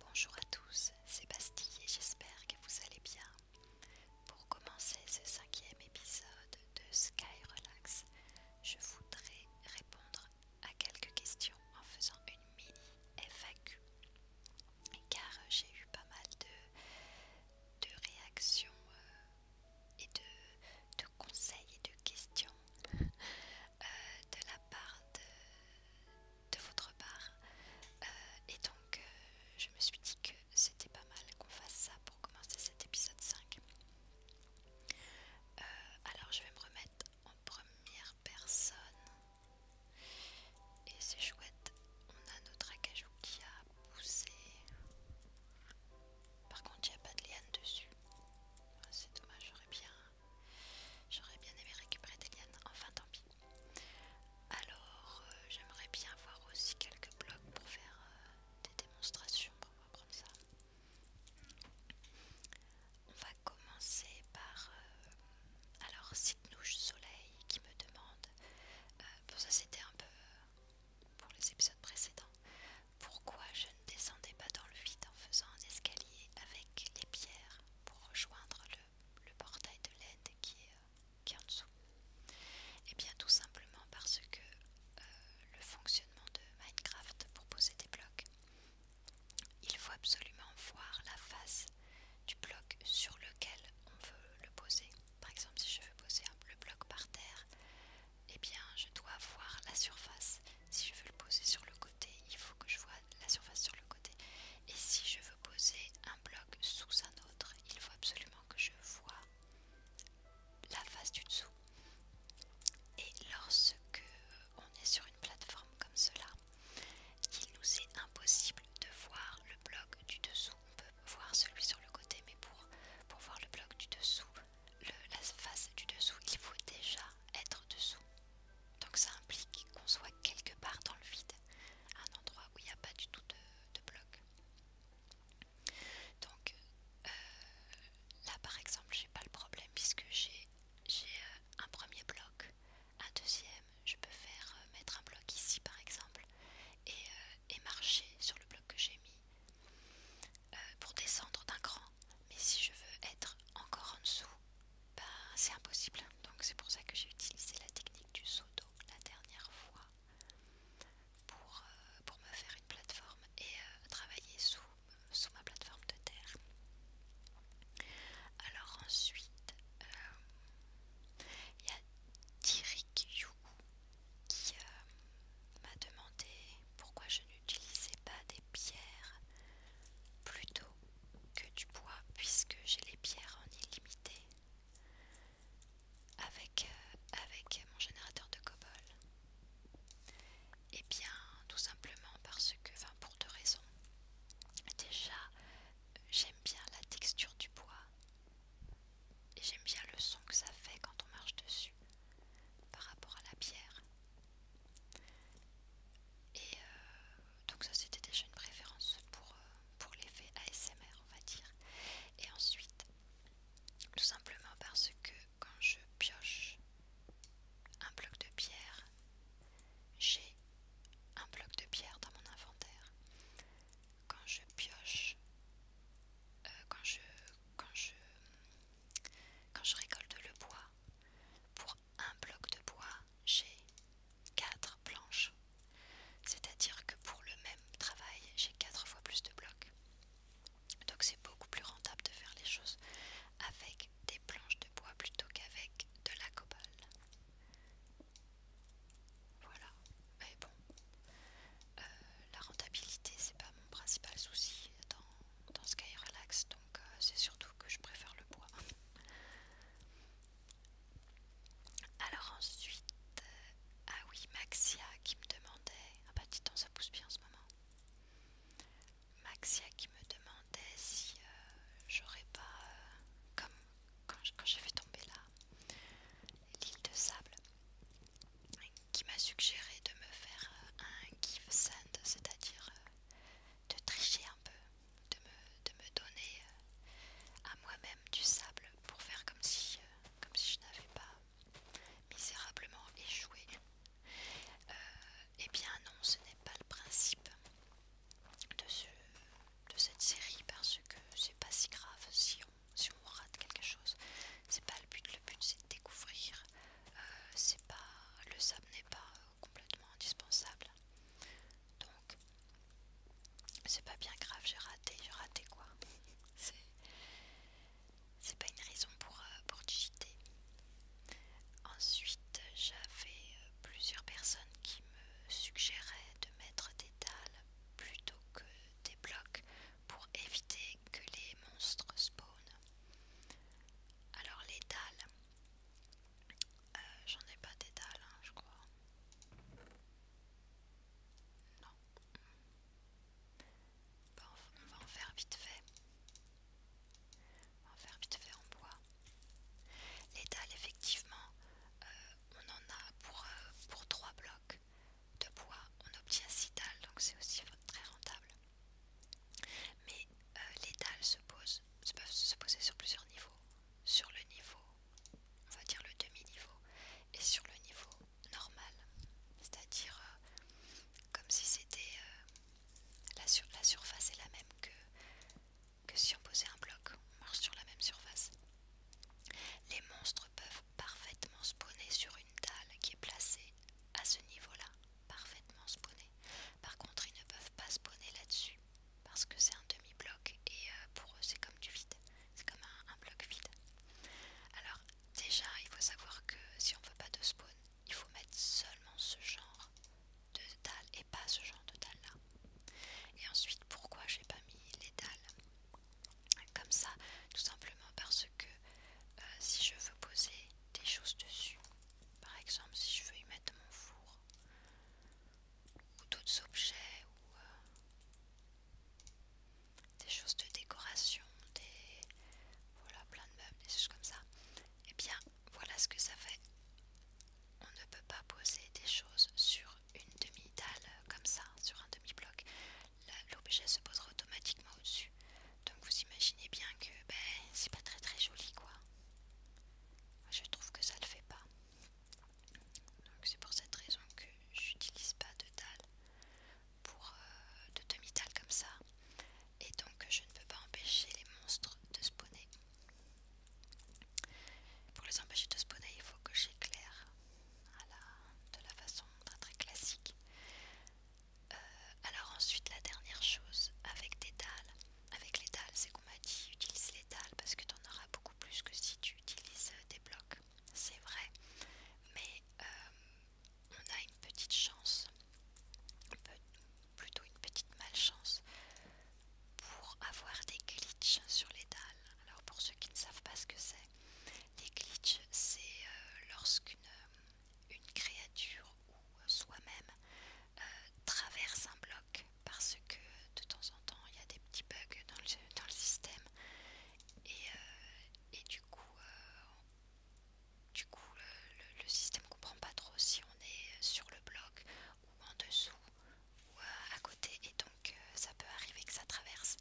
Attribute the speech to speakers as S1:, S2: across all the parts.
S1: Bonjour à tous, c'est Bastille et j'espère que vous allez bien. Pour commencer ce cinquième épisode de Sky Relax, je voudrais répondre à quelques questions en faisant une mini FAQ. Car j'ai eu pas mal de, réactions euh, et de, conseils et de questions euh, de la part de de votre part. Euh, et donc, euh, je me suis dit que c'était pas mal qu'on fasse ça pour commencer cet épisode 5. Euh, alors, je vais me remettre en première personne. Et c'est chouette, on a notre acajou qui a poussé. Par contre, il n'y a pas de liane dessus. Ah, c'est dommage, j'aurais bien J'aurais bien aimé récupérer des lianes, enfin tant pis. Alors euh, j'aimerais bien voir aussi quelques blocs pour faire euh, des démonstrations, pour apprendre ça. On va commencer par... Euh, alors Sidnouche Soleil qui me demande, pour ça c'était un peu pour les épisodes précédents, pourquoi je ne descendais pas dans le vide en faisant un escalier avec les pierres pour rejoindre le le, portail de l'aide qui, est euh, qui est en dessous Et eh bien tout simplement parce que euh, le fonctionnement de Minecraft pour poser des blocs, il faut absolument voir la face du bloc sur lequel on veut le poser. Par exemple, si je veux poser le bloc par terre, et eh bien je dois voir la surface. Si je veux le poser sur le côté, il faut que je vois la surface sur le côté. Et si je veux poser un bloc sous un autre, il faut absolument que je vois la face du dessous. Et lorsque on est sur une plateforme comme cela, il nous est impossible de voir le bloc du dessous. On peut voir celui sur le côté, mais pour, voir le bloc du dessous, la face du dessous, il faut déjà être dessous. Donc ça implique qu'on soit quelque part dans le vide, un endroit où il n'y a pas du tout de, bloc. Donc euh, là par exemple n'ai pas le problème puisque j'ai euh, un premier bloc, un deuxième, je peux faire euh, mettre un bloc ici par exemple et, marcher sur le bloc que j'ai mis pour descendre d'un cran. Mais si je veux être encore en dessous, bah, c'est impossible. Donc c'est pour ça que j'ai utilisé la technique du saut d'eau la dernière fois euh, pour, me faire une plateforme et euh, travailler sous, ma plateforme de terre. Alors ensuite, euh, il y a Dirik Yu qui m'a demandé pourquoi je n'utilisais pas des pierres plutôt que du bois puisque j'ai les pierres en illimité avec, euh, mon générateur de cobol et eh bien tout simplement parce que, enfin pour deux raisons déjà j'aime bien la texture du bois et j'aime bien le son que ça fait quand on marche dessus par rapport à la pierre et euh, donc ça c'était déjà une préférence pour, euh, pour l'effet ASMR on va dire. Et ensuite, tout simplement parce que quand je pioche un bloc de pierre, j'ai un bloc de pierre dans mon inventaire. Quand je pioche, euh, quand, je, quand, je, quand je récolte le bois, pour un bloc de bois, j'ai 4 planches. C'est-à-dire que pour le même travail, j'ai 4 fois plus de blocs. Donc c'est beaucoup plus rentable de faire les choses avec des planches de bois plutôt qu'avec de la cobale. Voilà. Mais bon, euh, la rentabilité c'est pas mon principal souci dans, dans Sky Relax, donc donc euh, c'est surtout que je préfère le bois. Alors ensuite, euh, ah oui, Maxia qui me demandait, ah bah dis donc ça pousse bien en ce moment. Maxia qui me demandait si euh, j'aurais pas, comme quand, j'ai fait tomber là, l'île de sable, qui m'a suggéré de me faire un give sand, c'est-à-dire de tricher un peu de me, donner euh, à moi-même du sable pour faire comme si, euh, comme si je n'avais pas misérablement échoué. Euh, eh bien non, ce n'est pas le principe de, ce, de cette série parce que c'est pas si grave si on, si on rate quelque chose. C'est pas le but, le but c'est de découvrir. c'est pas, le sable n'est pas complètement indispensable. Donc, c'est pas bien grave, j'ai raté, j'ai raté quoi. c'est pas une raison pour, euh, pour digiter. Ensuite, j'avais euh, plusieurs personnes qui me suggéraient de mettre des dalles plutôt que des blocs pour éviter que les monstres spawn Alors les dalles, euh, j'en ai pas d'étal, dalles, hein, je crois. Non. on va en faire vite fait. On va en faire vite fait en bois. Les dalles, effectivement, euh, on en a pour, euh, pour 3 blocs de bois. On obtient 6 dalles, donc c'est aussi très rentable. Mais euh, les dalles se posent, se peuvent se poser sur plusieurs niveaux. Sur le niveau, on va dire le demi-niveau, et sur le niveau normal. C'est-à-dire euh, comme si c'était euh, la, la surface est la même que, que si on posait un bloc. On marche sur la même surface. Les monstres peuvent parfaitement spawner sur une dalle qui est placée à ce niveau-là. Parfaitement spawner. Par contre, ils ne peuvent pas spawner là-dessus parce que c'est un demi-bloc et euh, pour eux c'est comme du vide, c'est comme un, bloc vide. Alors déjà il faut savoir que si on veut pas de spawn, il faut mettre seulement ce genre de dalles et pas ce genre de dalles là. Et ensuite pourquoi j'ai pas mis les dalles comme ça Tout simplement parce que euh, si je veux poser des choses dessus, par exemple, si je veux y mettre mon four ou d'autres objets ou euh, des choses de décoration, des voilà plein de meubles, des choses comme ça. Et eh bien, voilà ce que ça fait. On ne peut pas poser des choses sur une demi-dalle euh, comme ça, sur un demi-bloc. L'objet se posera automatiquement au-dessus. Donc vous imaginez bien que ben, c'est pas très très joli quoi. Je trouve que ça le fait pas. Donc c'est pour cette raison que j'utilise pas de dalles pour euh, de demi comme ça. Et donc je ne peux pas empêcher les monstres de spawner. Pour les empêcher de spawner, il faut que j'éclaire de la façon très classique. Euh, alors ensuite la dernière chose avec des dalles avec les dalles, c'est qu'on m'a dit utilise les dalles parce que tu en auras beaucoup plus que si tu utilises euh, des blocs. C'est vrai, mais euh, on a une petite chance, plutôt une petite malchance, pour avoir des glitches sur les dalles. Alors pour ceux qui ne savent pas ce que c'est, les glitches, c'est euh, lorsqu'une créature euh, soi-même euh, traverse un bloc parce que de temps en temps il y a des petits bugs dans le, système euh, et, du coup, du coup le, système comprend pas trop si on est sur le bloc ou en dessous ou à côté et donc ça peut arriver que ça traverse.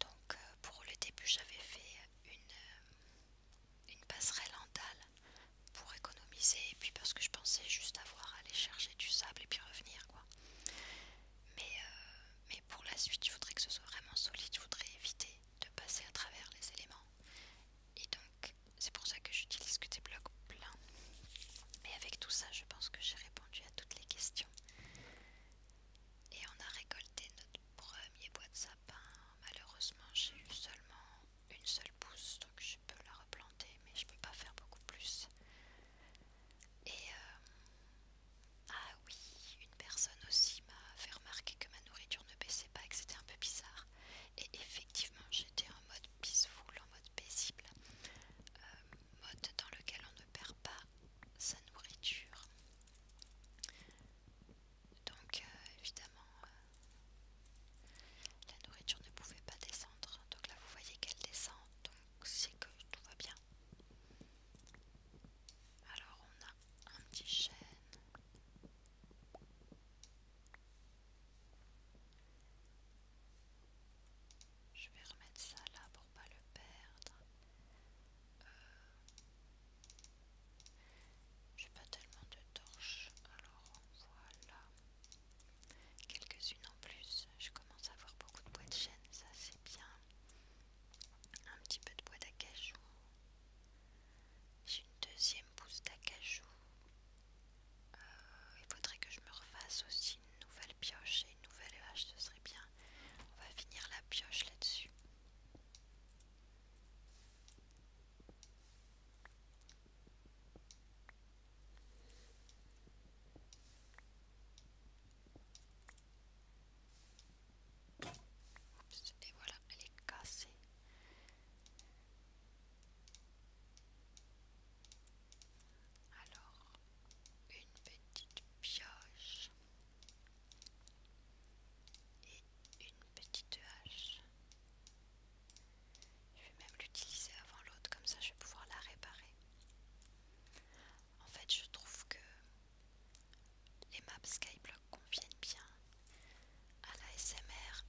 S1: Donc pour le début j'avais fait une, une passerelle en dalle pour économiser et puis parce que je pensais juste avoir à aller chercher du sable et puis revenir quoi. Mais, euh, pour la suite je voudrais que ce soit vraiment solide, je voudrais éviter de passer à travers les éléments. Et donc c'est pour ça que j'utilise que des blocs pleins. Et avec tout ça je pense que j'ai répondu à toutes les questions. Et on a récolté notre premier bois de sapin malheureusement j'ai eu seulement une seule pousse donc je peux la replanter mais je peux pas faire beaucoup plus et euh, ah oui une personne aussi m'a fait remarquer que ma nourriture ne baissait pas et que c'était un peu bizarre et effectivement j'étais en mode peaceful en mode paisible euh, mode dans lequel on ne perd pas sa nourriture donc euh, évidemment euh, la nourriture ne pouvait pas descendre. Donc là vous voyez qu'elle descend. Donc c'est que tout va bien. Alors on a un petit chêne. Je vais remettre ça là pour pas le perdre. Euh, j'ai pas tellement de torches, alors voilà. Quelques-unes en plus. Je commence à avoir beaucoup de bois de chêne, ça c'est bien. Un petit peu de bois d'acajou. J'ai une deuxième pousse d'acajou. Euh, il faudrait que je me refasse aussi une nouvelle pioche et une nouvelle hache, ce serait bien. On va finir la pioche là-dessus. Et voilà, elle est cassée. Alors, une petite pioche et une petite hache. Je vais même l'utiliser avant l'autre, comme ça je vais pouvoir la réparer. En fait, je trouve que les maps Skyblock conviennent bien à la SMR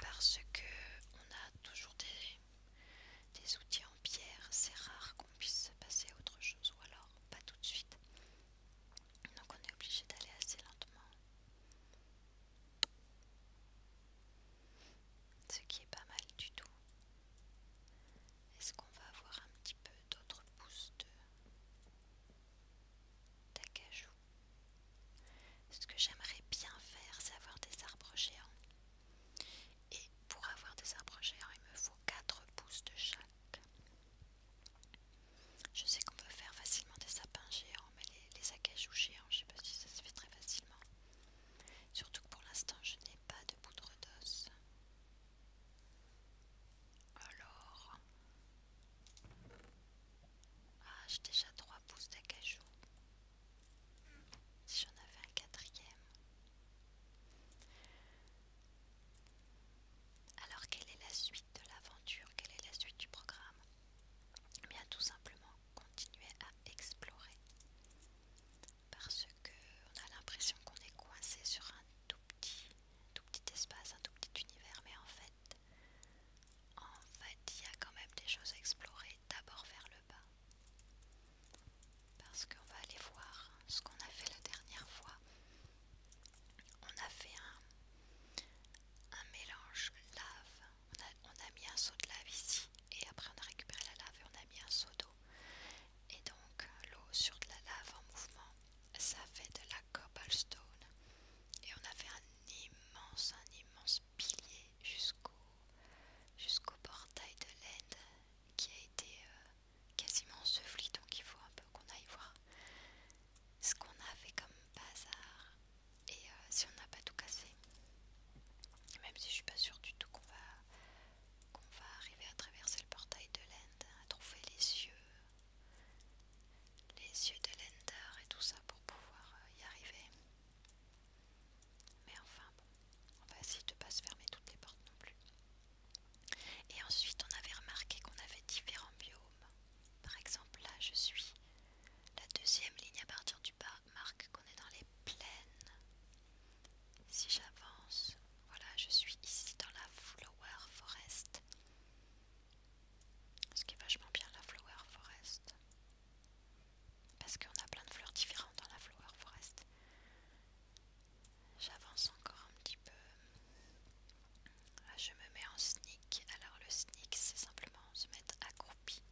S1: parce que on a toujours des, outils en pierre. C'est rare qu'on puisse se passer à autre chose, ou alors pas tout de suite donc on est obligé d'aller assez lentement ce qui est pas mal du tout est-ce qu'on va avoir un petit peu d'autres pousses de d'acajou ce que j'aimerais bien faire c'est avoir des arbres géants et pour avoir des arbres géants il me faut 4 pouces de chaque je sais qu'on peut faire facilement des sapins géants, mais les, acajou géants, je ne sais pas si ça se fait très facilement. Surtout que pour l'instant, je n'ai pas de poudre d'os. Alors... Ah, j'ai déjà 3 pouces d'acajou. Si j'en avais un quatrième. Alors quelle est la suite de l'aventure Quelle est la suite du programme eh Bien tout simplement continuer à explorer parce que a l'impression qu'on est coincé sur un tout petit, tout petit espace, un tout petit univers, mais en fait, en fait, il y a quand même des choses à explorer d'abord vers le bas. Parce qu'on va aller voir ce qu'on a fait la dernière fois on a fait un, mélange lave. On a, mis un seau de lave ici et après on a récupéré la lave et on a mis un seau d'eau. Et donc euh, l'eau sur de la lave en mouvement, ça fait de la cobblestone. Et on a fait un immense, un immense pilier jusqu'au jusqu'au portail de l'aide qui a été euh, quasiment enseveli. Donc il faut un peu qu'on aille voir ce qu'on a fait comme bazar et euh, si on n'a pas tout cassé. Même si je suis pas sûre du tout qu'on va, qu'on va arriver à traverser le portail de l'End, à trouver les yeux, les yeux de l'Ender et tout ça pour pouvoir euh, y arriver. Mais enfin bon, on va essayer de pas se fermer toutes les portes non plus. Et ensuite, on avait remarqué qu'on avait différents biomes. Par exemple, là, je suis la deuxième ligne à partir du bas marque qu'on est dans les plaines. Si j'avance, voilà, je suis ici dans la Flower Forest. Ce qui est vachement bien la Flower Forest. Parce qu'on a plein de fleurs différentes dans la Flower Forest. J'avance encore un petit peu. Là, ah, je me mets en sneak. Alors le sneak, c'est simplement se mettre accroupi.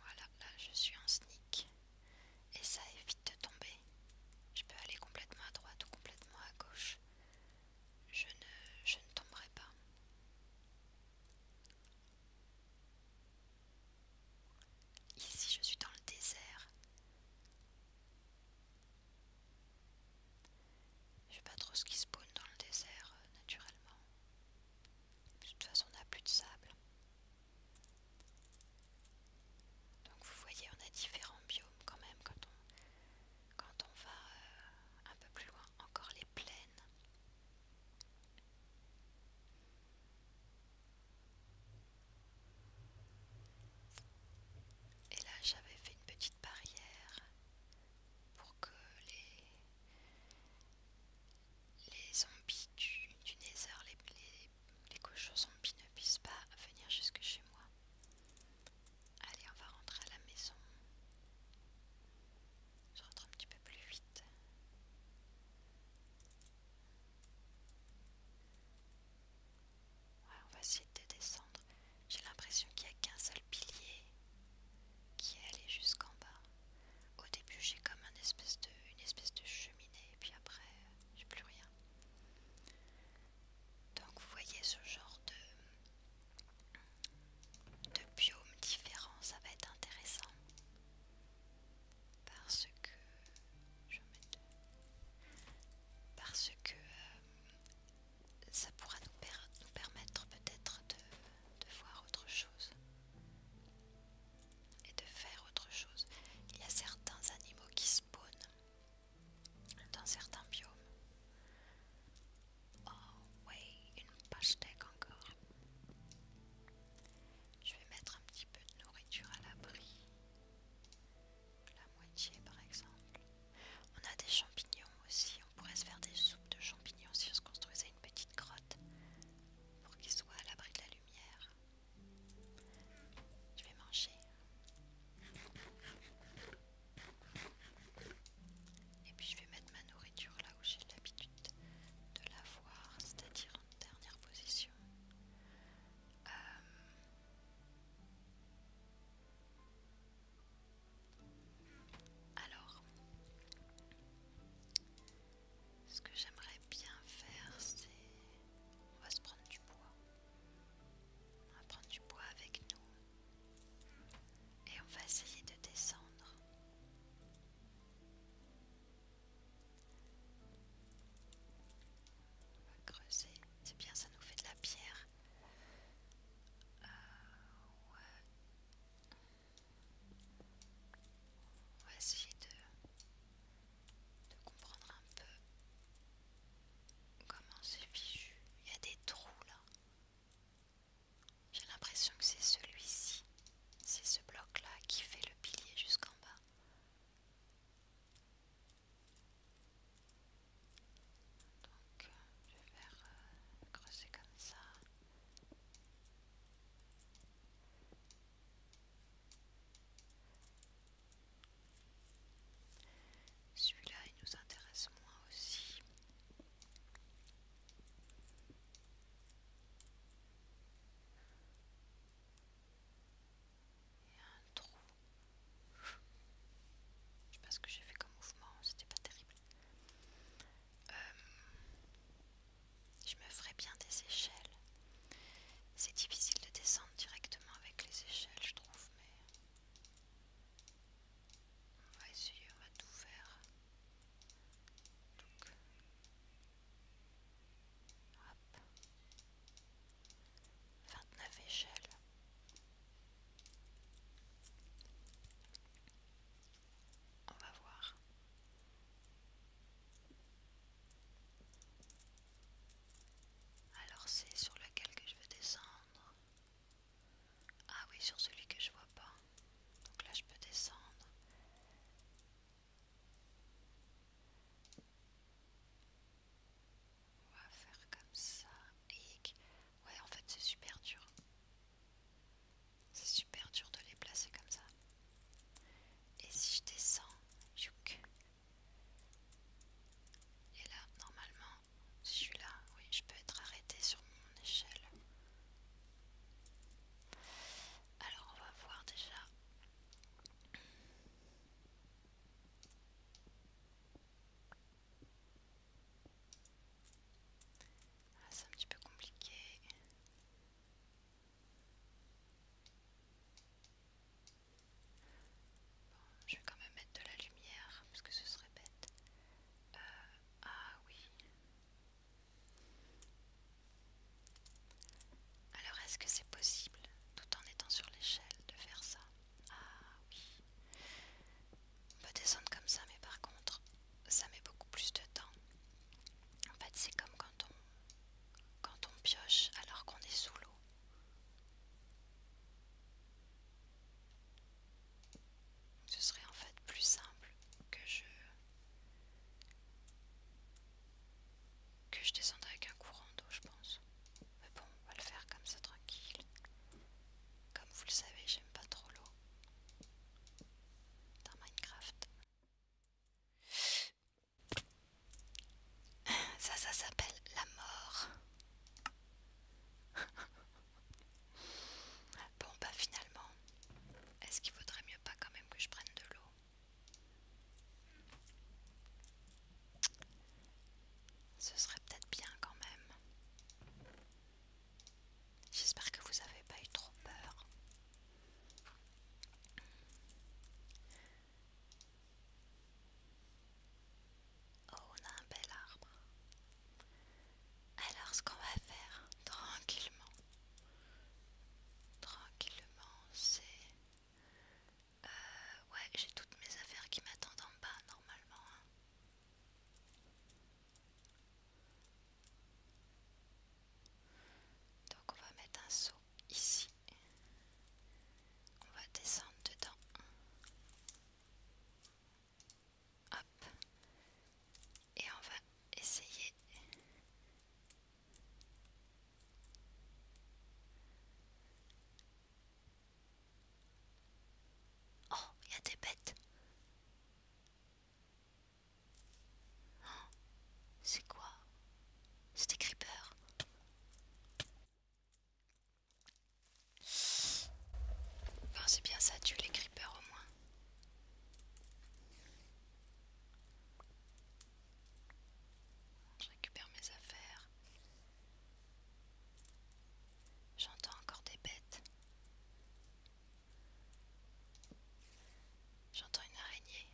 S1: Voilà, là je suis en sneak. Et ça évite de tomber. Je peux aller complètement à droite ou complètement à gauche. Je ne, je ne tomberai pas. Ici, je suis dans le désert. Je sais pas trop ce qui spawn dans le désert euh, naturellement. De toute façon on n'a plus de sable. Donc vous voyez on a différents biomes quand même quand on, va euh, un peu plus loin. Encore les plaines. Et là, j'avais fait une petite barrière pour que les, zombies du, nether, les, les, les cochons zombies ne puissent pas venir jusque chez moi. Allez, on va rentrer à la maison. Je rentre un petit peu plus vite on va essayer de descendre. J'ai l'impression qu'il n'y a qu'un seul pilier qui est allé jusqu'en bas. Au début, j'ai comme espèce de, une espèce de cheminée, et puis après, j'ai plus rien. Donc, vous voyez ce genre de, de biome différent, ça va être intéressant. Parce que je parce que euh, ça pourra nous, permettre peut-être de, voir autre chose et de faire autre chose. Il y a certains animaux qui spawnent dans certains biomes. Oh oui, une tech encore. Je vais mettre un petit peu de nourriture à l'abri la moitié par exemple. On a des champignons aussi, on pourrait se faire des soupes de champignons si on se construisait une petite grotte pour qu'ils soient à l'abri de la lumière. Je vais manger. Et puis je vais mettre ma nourriture là où j'ai l'habitude de la voir, c'est-à-dire en dernière position. Euh, alors, ce que j'aimerais bien faire, c'est... On va se prendre du bois. On va prendre du bois avec nous. Et on va essayer de descendre. On va creuser. C'est bien, ça nous fait de la pierre. Euh, On va essayer de comprendre un peu comment c'est fichu. Il y a des trous là. J'ai l'impression que c'est celui-ci. C'est ce bloc là qui fait le pilier jusqu'en bas. Donc je vais faire le euh, comme ça. Celui-là, il nous intéresse moins aussi. Il y a un trou. Je sais pas ce que j'ai fait comme mouvement, c'était pas terrible. Euh, je me ferais bien des échelles. C'est difficile de descendre directement avec les échelles, je trouve, mais. On va essayer, on va tout faire. Donc. 29 échelles. On va voir. Alors c'est sur lequel que je veux descendre. Ah oui, sur celui que je vois pas. Donc là je peux descendre. On va faire comme ça. Ouais, en fait, c'est super dur. C'est super dur de les placer comme ça. Et si je descends, Et là, normalement, si je suis là, oui, je peux être arrêté sur mon échelle. Alors, on va voir déjà. Ah, c'est un petit peu compliqué. je vais quand même mettre de la lumière parce que ce serait bête. Euh, ah oui. Alors est-ce que c'est possible, tout en étant sur l'échelle, de faire ça Ah oui. On peut descendre comme ça, mais par contre, ça met beaucoup plus de temps. En fait, c'est comme quand on, quand on pioche alors qu'on est sous l'eau. Ce serait en fait plus simple que je que je descende avec un courant d'eau, je pense. Mais bon, on va le faire comme ça, tranquille. Comme vous le savez, j'aime pas trop l'eau dans Minecraft. Ça, ça s'appelle la mort. bon, bah finalement, est-ce qu'il vaudrait mieux pas quand même que je prenne de l'eau ce serait peut-être bien quand même. J'espère que vous n'avez pas eu trop peur. Oh, on a un bel arbre. Alors ce qu'on va faire tranquillement, tranquillement, c'est euh, ouais, j'ai toutes mes affaires qui m'attendent en bas normalement. Hein. Donc on va mettre un saut ici. On va descendre dedans. Hop. Et on va essayer Oh, il y a des bêtes. Oh, c'est quoi C'est des creepers. Enfin, C'est bien ça, tu les creepers au moins. Je récupère mes affaires. J'entends encore des bêtes. J'entends une araignée.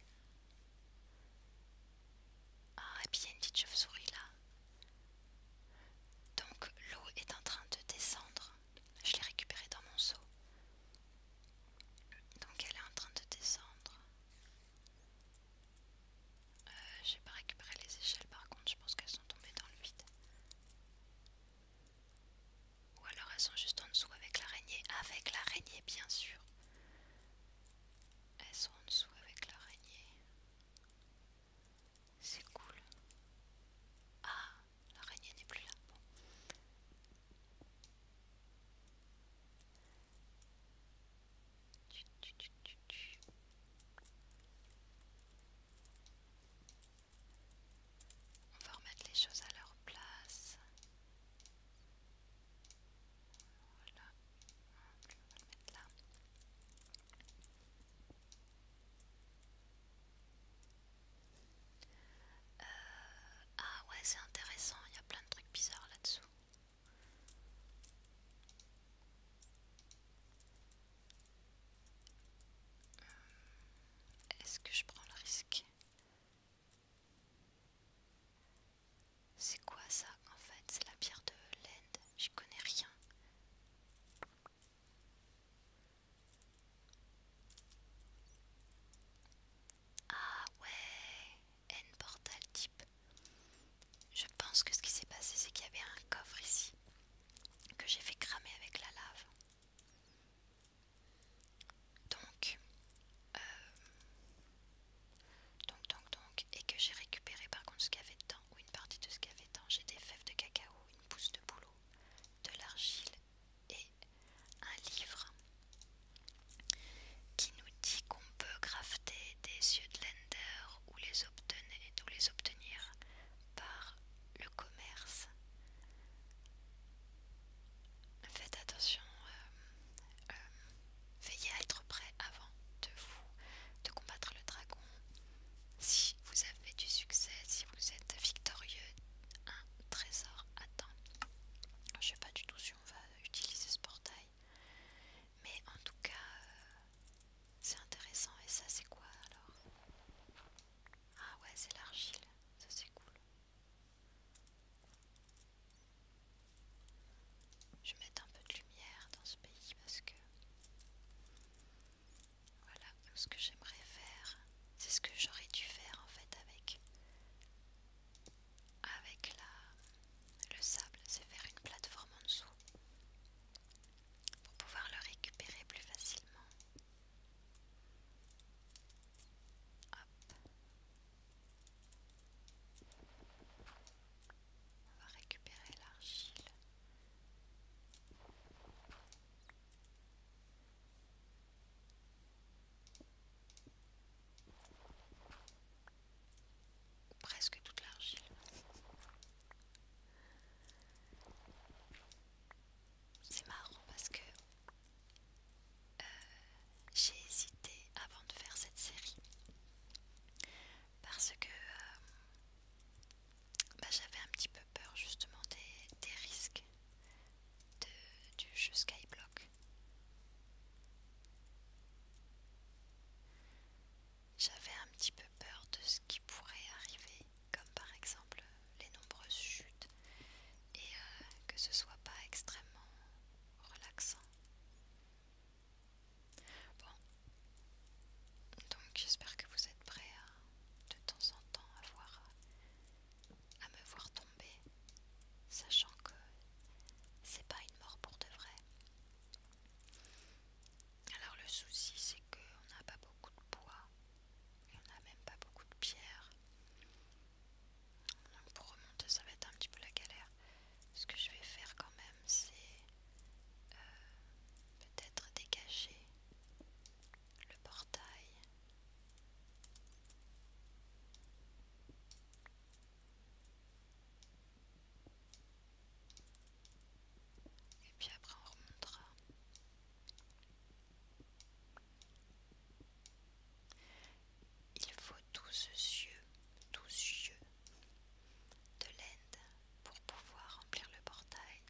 S1: Ah, et puis il y a une petite chauve-souris là. Donc l'eau est en train de descendre. Je l'ai récupérée dans mon seau. Donc elle est en train de descendre. Euh, j'ai pas récupéré les échelles par contre, je pense qu'elles sont tombées dans le vide. Ou alors elles sont juste en dessous avec l'araignée. Avec l'araignée bien sûr. Elles sont en dessous avec l'araignée. C'est cool. Ah, l'araignée n'est plus là. Bon. On va remettre les choses à leur place. Euh, ah ouais c'est intéressant, il y a plein de trucs bizarres là-dessous. Euh, est-ce que je prends le risque C'est quoi ça en fait C'est la pierre de l'Inde, j'y connais rien. Ah ouais, N-Portal Type. Je pense que ce qui s'est passé, c'est qu'il y avait un coffre ici que j'ai fait cramer avec la lave. Donc, euh, donc, donc, donc, et que j'ai récupéré par contre ce qu'il y avait dedans, ou une partie de ce qu'il y avait dedans. J'ai des fèves de cacao, une pousse de boulot, de l'argile et un livre qui nous dit qu'on peut crafter des yeux de Lender ou les, obtenir, les obtenir par le commerce. Faites attention, euh, euh, veillez à être prêt avant de vous de combattre le dragon. Si vous avez du succès, si vous êtes victorieux, un trésor attend. Je sais pas du tout si on va utiliser ce portail. Mais en tout cas, euh, c'est intéressant. Et ça, c'est quoi alors Ah ouais, c'est l'argile. Ça, c'est cool. Je vais mettre un peu de lumière dans ce pays parce que... Voilà, ce que j'aimerais faire, c'est ce que j'aurais dû faire en fait avec avec la, le sable, c'est faire une plateforme en dessous pour pouvoir le récupérer plus facilement. On va récupérer l'argile presque toute l'argile. C'est marrant parce que euh, j'ai hésité avant de faire cette série parce que euh, bah, j'avais un petit peu peur justement des, risques du jeu Skyblock j'avais un petit peu peur de ce qui pourrait arriver, comme par exemple les nombreuses chutes, et euh, que ce soit pas extrêmement relaxant. Bon, donc j'espère que vous êtes prêts de temps en temps à, voir, à me voir tomber sachant que c'est pas une mort pour de vrai. Alors le souci c'est qu'on n'a pas beaucoup de bois et on n'a même pas beaucoup de pierres Donc pour remonter ça va être un petit peu la galère. Ce que je vais faire quand même c'est euh, peut-être dégager le portail. Et puis après on remontera. Il faut tous ces yeux, ces yeux de l'end pour pouvoir remplir le portail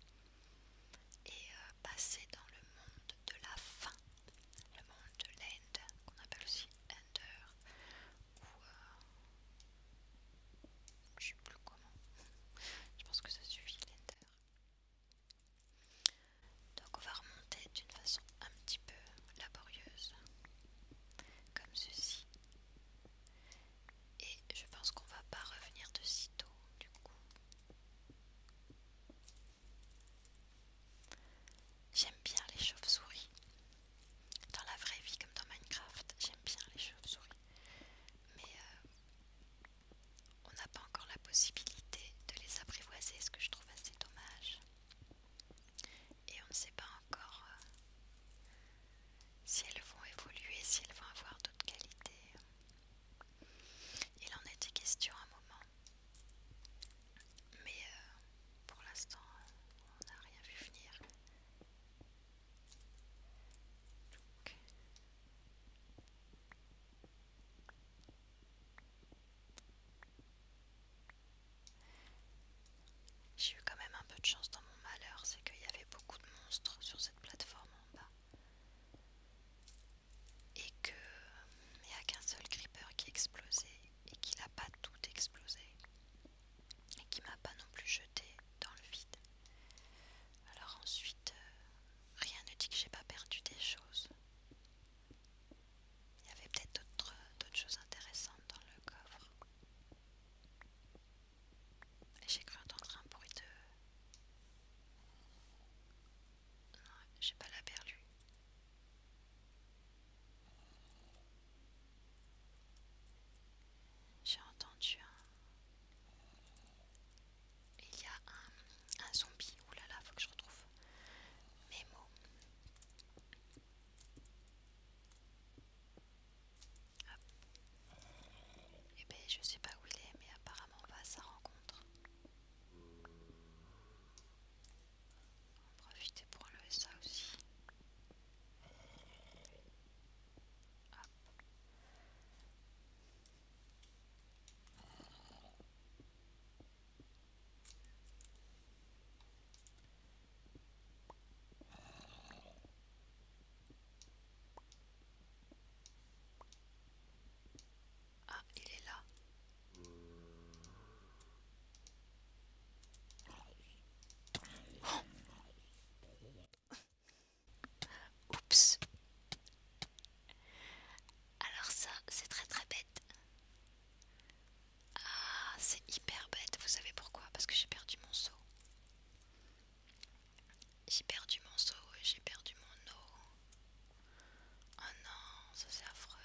S1: et euh, passer dans le monde de la fin, le monde de l'end, qu'on appelle aussi Ender je sais plus comment. Je pense que ça suffit, l'inter. Donc on va remonter d'une façon un petit peu laborieuse, comme ceci. Et je pense qu'on va pas revenir de si tôt, du coup. J'aime bien les chauves-souris. Dans la vraie vie, comme dans Minecraft, j'aime bien les chauves-souris. Mais euh, on n'a pas encore la possibilité de les apprivoiser, ce que je trouve assez dommage. Et on ne sait pas encore euh, si elles vont évoluer, si elles vont avoir d'autres qualités. Il en était question un moment mais euh, pour l'instant, on n'a rien vu venir. J'ai eu quand même un peu de chance dans mon malheur, c'est qu'il y avait beaucoup de monstres sur cette plateforme en bas. Et que... n'y a qu'un seul creeper qui explosait et qui n'a pas tout explosé et qui m'a pas non plus jeté dans le vide. Alors ensuite, euh, rien ne dit que j'ai pas perdu des choses. Il y avait peut-être d'autres choses intéressantes dans le coffre. J'ai cru entendre un bruit de... Non, j'ai pas la perdu j'ai entendu un... Il y a un, zombie. Ouh là là, faut que je retrouve mes mots. et eh ben, je sais pas où il est, mais apparemment on va à sa rencontre. On va profiter pour enlever ça aussi. Ah, il est là. Oups. Alors ça, c'est très très bête. Ah, c'est hyper bête. Vous savez pourquoi Parce que j'ai perdu mon seau. J'ai perdu mon seau j'ai perdu mon eau. Oh non, ça c'est affreux.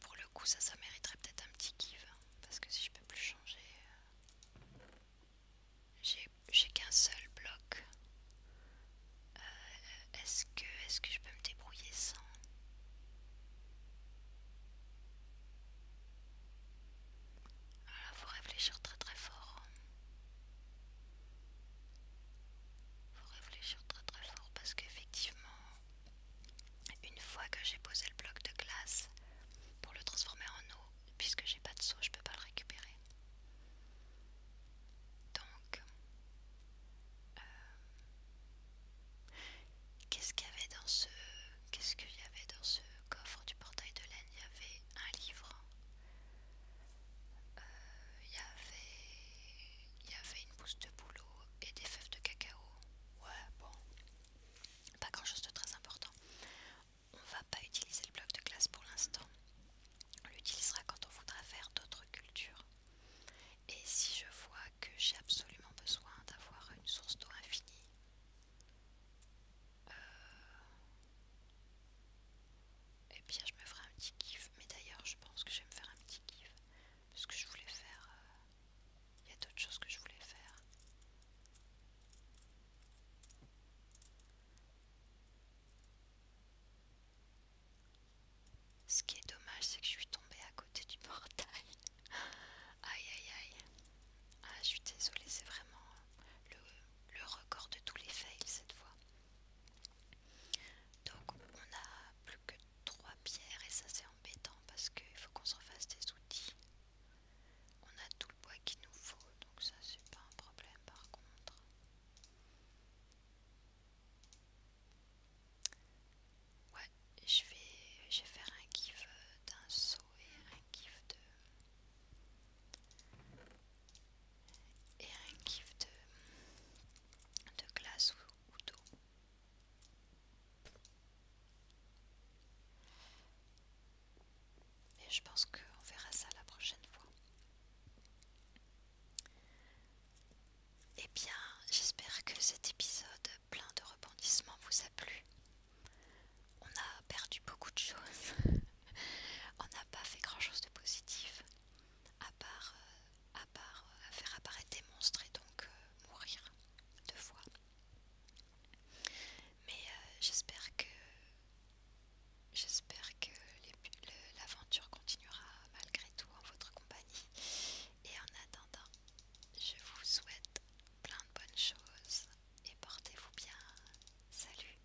S1: Pour le coup, ça, ça mériterait peut-être un petit give. Hein, parce que si je peux plus changer. Euh, j'ai qu'un seul bloc. Euh, est-ce que, je peux me débrouiller sans Alors, faut réfléchir très très fort. Hein. Faut réfléchir très très fort parce qu'effectivement, une fois que j'ai posé le bloc de glace pour le transformer en eau, puisque j'ai pas de seau, je peux pas le récupérer. Donc, euh, avait dans ce, qu'est-ce qu'il y avait dans ce coffre du portail de laine Il y avait un livre. Il euh, y avait y avait une pousse de boulot et des fèves de cacao. Ouais, bon, pas grand chose de très important. On va pas utiliser le bloc de glace pour l'instant. On l'utilisera quand on voudra faire d'autres cultures. Et si je vois que j'ai absolument besoin d'avoir une source d'eau infinie, euh, et eh bien je me ferai un petit kiff. Mais d'ailleurs je pense que je vais me faire un petit kiff. Parce que je voulais faire... Euh, il y a d'autres choses que je voulais faire. Ce qui est dommage, c'est que je suis tombée à côté du portail. aïe aïe aïe. Ah, je suis désolée, c'est vraiment le record de tous les fails cette fois. Donc on a plus que 3 pierres et ça c'est embêtant parce qu'il faut qu'on se refasse des outils. On a tout le bois qu'il nous faut donc ça c'est pas un problème par contre. Ouais, je vais, je vais faire un kiff euh, d'un seau et un kiff de et un kiff de, de glace ou, ou d'eau. Et je pense qu'on verra ça la prochaine fois. Eh bien, j'espère que cet épisode plein de rebondissements vous a plu. On a perdu beaucoup de choses. On n'a pas fait grand chose de positif à part, euh, à part euh, faire apparaître des monstres et donc euh, mourir deux fois. Mais j'espère que j'espère que l'aventure continuera malgré tout en votre compagnie. Et en attendant, je vous souhaite plein de bonnes choses et portez-vous bien. Salut